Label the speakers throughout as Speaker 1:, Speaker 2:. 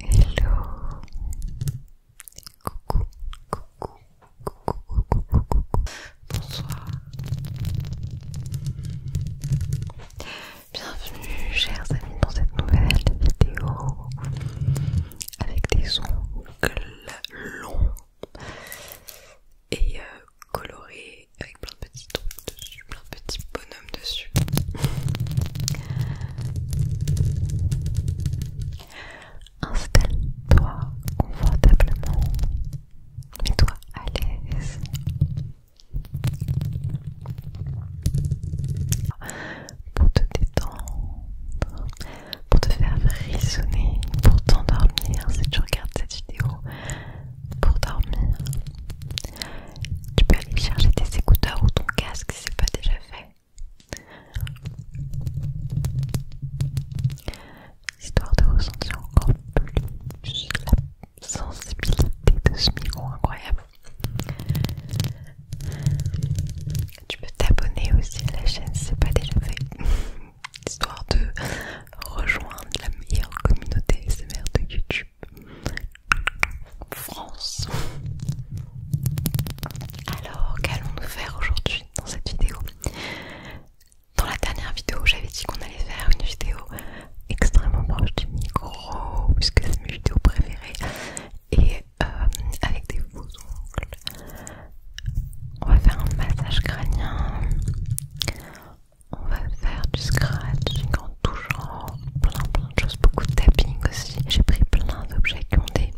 Speaker 1: Hello Coucou, coucou, coucou, coucou, coucou, bonsoir Bienvenue chers amis dans cette nouvelle vidéo avec des ongles longs et euh, colorés plein de petits trucs dessus, plein de petits bonhommes dessus. Installe-toi confortablement, mets-toi à l'aise. Pour te détendre, pour te faire frissonner, pour t'endormir si tu regardes cette vidéo, pour dormir, tu peux aller chercher tes écouteurs ou ton casque si c'est pas déjà fait histoire de ressentir encore plus la sensibilité de ce micro incroyable tu peux t'abonner aussi à la chaîne si c'est pas déjà fait histoire de rejoindre la meilleure communauté SMR de YouTube France. Alors, qu'allons-nous faire aujourd'hui dans cette vidéo Dans la dernière vidéo, j'avais dit qu'on allait faire une vidéo extrêmement proche du micro, puisque c'est mes vidéos préférées, et euh, avec des faux ongles. On va faire un massage crânien on va faire du scratching en tout plein plein de choses, beaucoup de tapping aussi. J'ai pris plein d'objets qui ont des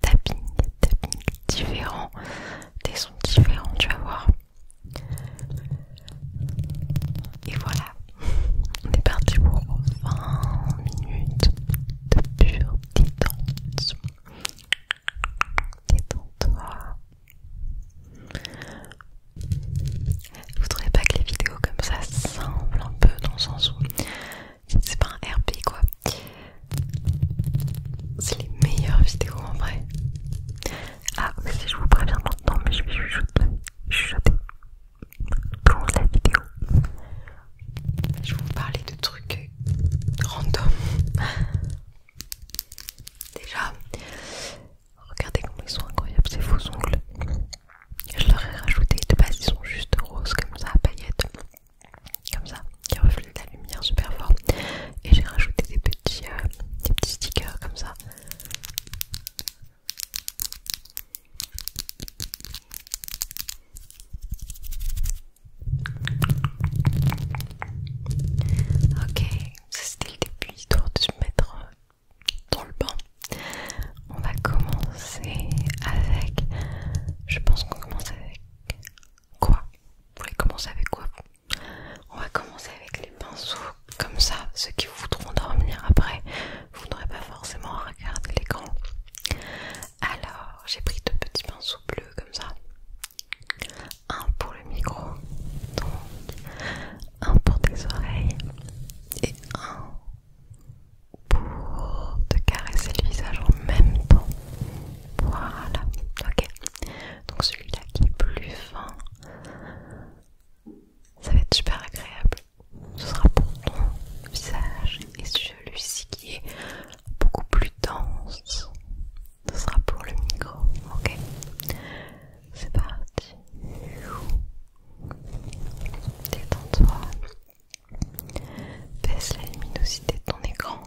Speaker 1: tapping, tapping différents, des sons différents, tu vas voir. Et voilà, on est parti pour 20 minutes de pure détente. Détends-toi. Vous trouvez pas que les vidéos comme ça semblent un peu dans le sens où c'est pas un RP quoi. C'est les meilleures vidéos en vrai. Ah si je vous préviens maintenant mais je vais chuchoter. Pour cette la vidéo. Je vais vous parler de trucs random. Déjà, Regardez comment ils sont incroyables ces faux ongles. Je leur ai rajouté, de base ils sont juste roses comme ça, paillettes, comme ça, qui reflètent la lumière super fort. Et j'ai rajouté des petits, euh, des petits stickers comme ça. Ok, ça c'était le début, histoire de se mettre euh, dans le bain. On va commencer avec. Je pense qu'on commence avec quoi Vous voulez commencer avec quoi On va commencer avec les pinceaux. Comme ça, ceux qui voudront dormir après, vous n'aurez pas forcément à regarder l'écran. Alors, j'ai pris deux petits pinceaux bleus comme ça. Un pour le micro, un pour tes oreilles un pour te caresser le visage en même temps. Voilà, ok. Donc celui-là qui est plus fin, ça va être super agréable. Ce sera pour ton visage et celui-ci qui est beaucoup plus dense. Ce sera pour le micro, ok C'est parti Détends-toi. Baisse la luminosité de ton écran.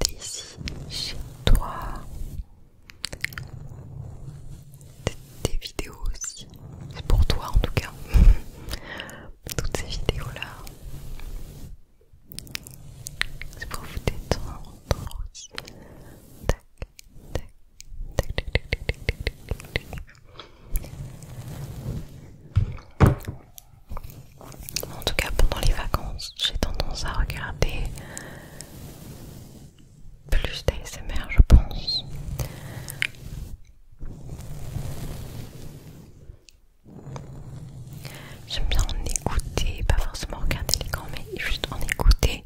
Speaker 1: T'es ici chez toi. Tes vidéos aussi. C'est pour toi en tout cas. Toutes ces vidéos là. C'est pour vous détendre En tout cas, pendant les vacances, j'ai tendance à regarder plus d'ASMR, je pense j'aime bien en écouter, pas forcément regarder les grands mais juste en écouter.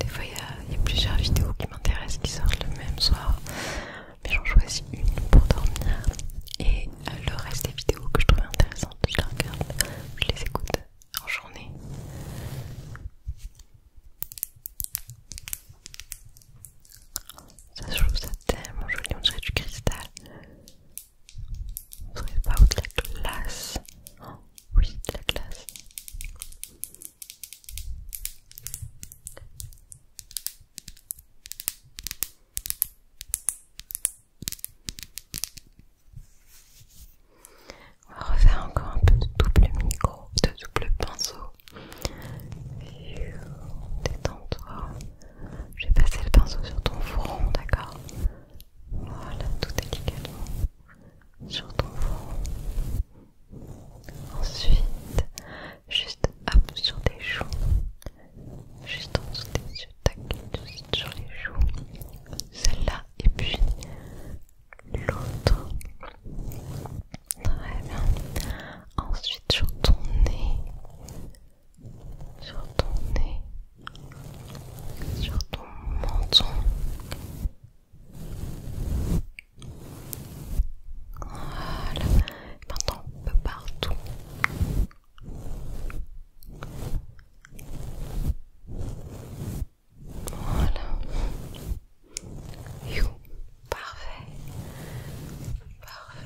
Speaker 1: Des fois, il y, y a plusieurs vidéos qui m'intéressent qui sortent le même soir, mais j'en choisis une pour dormir et euh, le reste des vidéos que je trouve intéressantes, je les regarde, je les écoute en journée. Ça se trouve ça tellement joli, on dirait du cristal. On dirait pas ou de la glace. Oh, oui, de la glace. On va refaire encore un peu de double micro, de double pinceau. Détends-toi. Je vais passer le pinceau sur ton front, d'accord Voilà, tout délicatement. Sur ton front. Ensuite, juste hop sur tes joues. Juste en dessous des yeux, tac, sur les joues, celle-là et puis l'autre. Très bien. Ensuite sur ton nez, sur ton nez, sur ton menton. Voilà. Maintenant un peu partout. Voilà. Parfait. Parfait.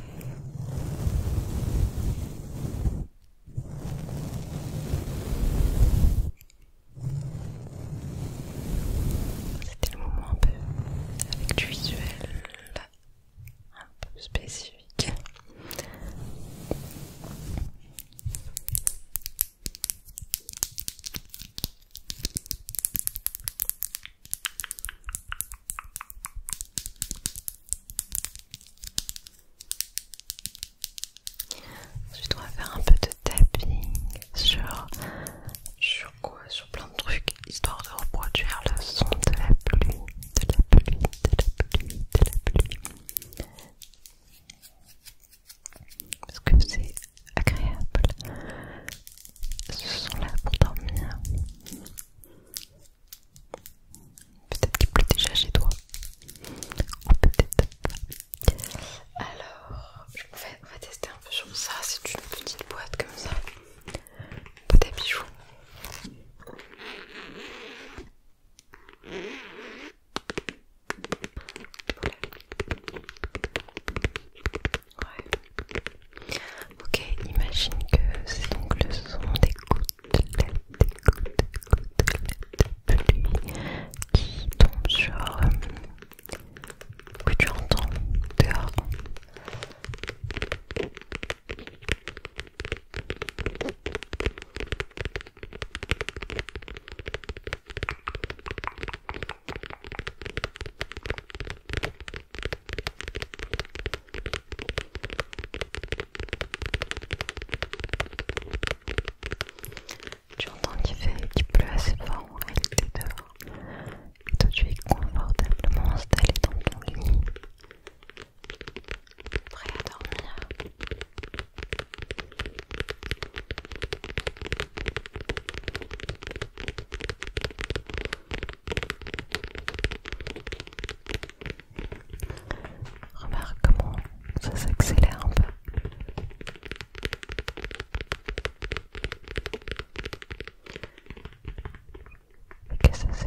Speaker 1: C'était le moment un peu avec du visuel un peu spécifique. Ensuite, on va faire un peu de tapping sur, quoi Sur plein de trucs, histoire de reproduire le son de la pluie, de la pluie, de la pluie, de la pluie parce que c'est agréable. Ce sont là pour dormir. Peut-être qu'il pleut déjà chez toi. Ou peut-être pas. Alors, je vais, on va tester un peu sur ça. C'est une petite boîte comme ça. Boîte des bijoux. Ok, imagine que c'est sont des gouttes, des de qui tombent sur. Euh, que tu entends tu qu'il fait qu'il pleut assez fort en réalité dehors. Et toi tu es confortablement installé dans ton lit prêt à dormir. Remarque comment ça s'accélère un peu. Et que ça se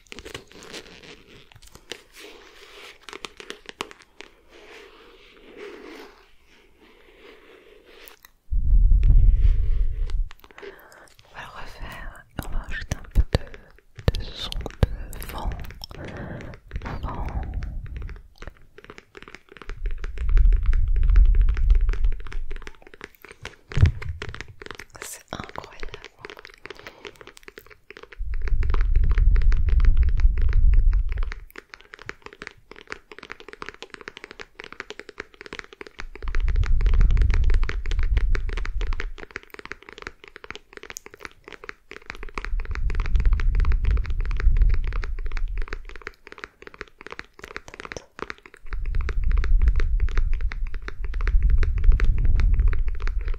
Speaker 1: On va le refaire et on va ajouter un peu de, son de vent incroyable.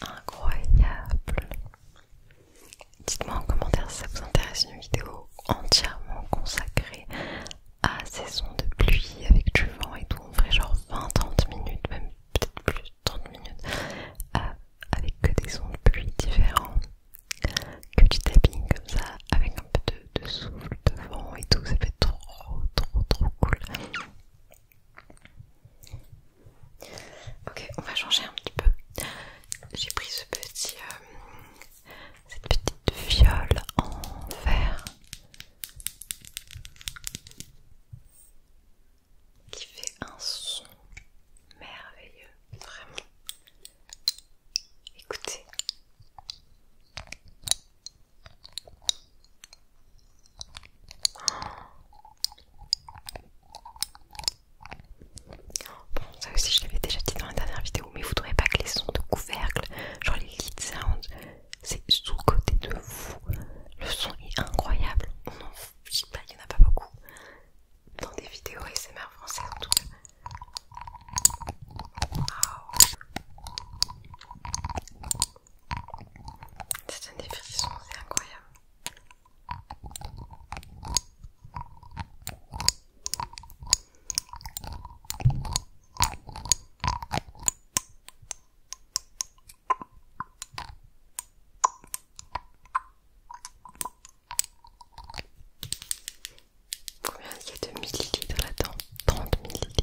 Speaker 1: Incroyable Dites-moi en commentaire si ça vous intéresse une vidéo entièrement consacrée à ces sons de pluie avec du vent et tout. On ferait genre 20-30 minutes, même peut-être plus de 30 minutes, euh, avec que des sons de pluie différents, que du tapping comme ça, avec un peu de, de souffle, de vent et tout. Ça fait trop, trop, trop cool. Ok, on va changer un petit peu. J'ai pris ce petit, euh, cette petite viole en verre qui fait un son merveilleux, vraiment. Écoutez. Bon, ça aussi je l'avais déjà dit dans la dernière vidéo, mais vous ne trouvez pas que les sons de couvercle, genre les lead sounds, c'est sous-côté de vous. Le son est incroyable. On en pas, il y en a pas beaucoup dans des vidéos SMR françaises en tout cas. C'est un des c'est incroyable. Combien il y a de millilitres là-dedans 30 millilitres.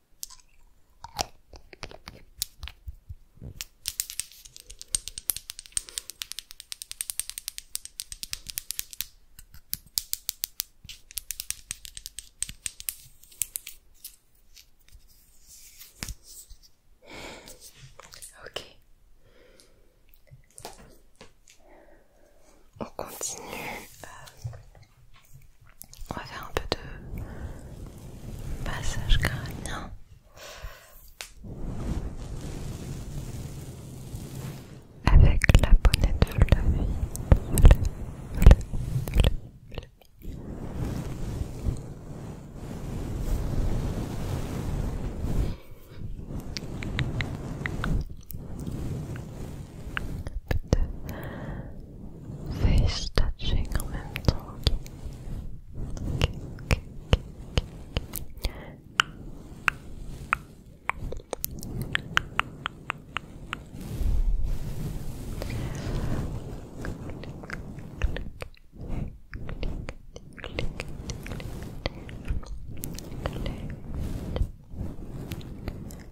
Speaker 1: Ok. On continue on va faire un peu de passage crânien. Avec la bonnette de la vie. face touching en même temps. Okay.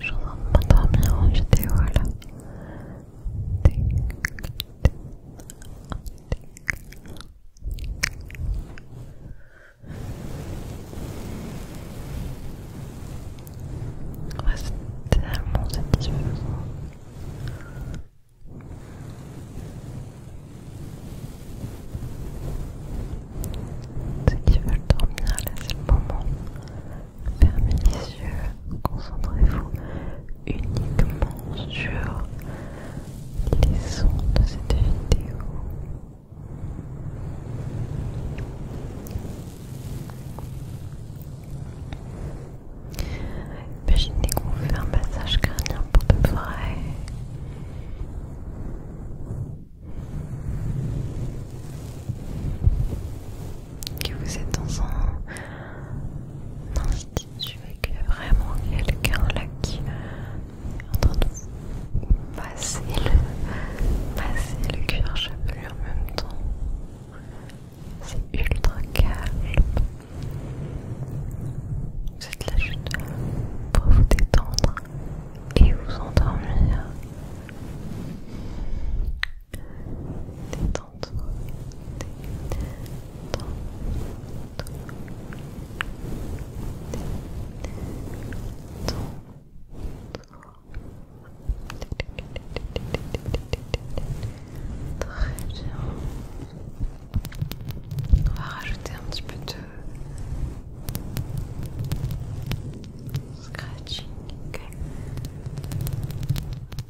Speaker 1: Je vais en m'endormir Ouais, c'est tellement satisfaisant. Ceux qui veulent dormir, là c'est le moment fermez les yeux, concentrez-vous uniquement sur les sons de cette vidéo. Imaginez qu'on fait un massage crânien pour de vrai que vous êtes dans un institut et qu'il vraiment quelqu'un là qui euh, est en train de vous passer le, passer le cuir chevelu en même temps. C'est ultra calme. Vous êtes là juste pour vous détendre et vous endormir. On rajouter un petit peu de scratching.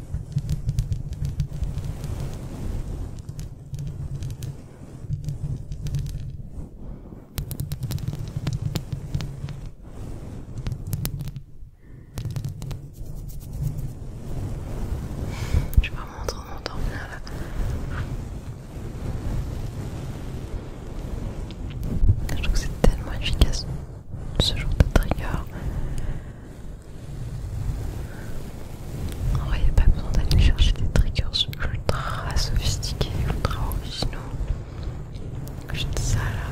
Speaker 1: Je suis vraiment trop bien là. Je trouve que c'est tellement efficace ce genre de trigger. En vrai, il a pas besoin d'aller chercher des triggers ultra sophistiqués, ultra originaux. Je te ça là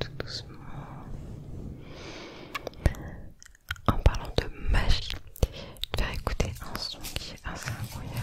Speaker 1: tout doucement. En parlant de magie, je vais écouter un son qui est assez incroyable.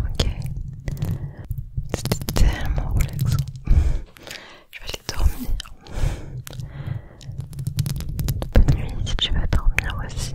Speaker 1: Ok, c'était tellement relaxant. Je vais aller dormir. Bonne nuit si tu vas dormir aussi.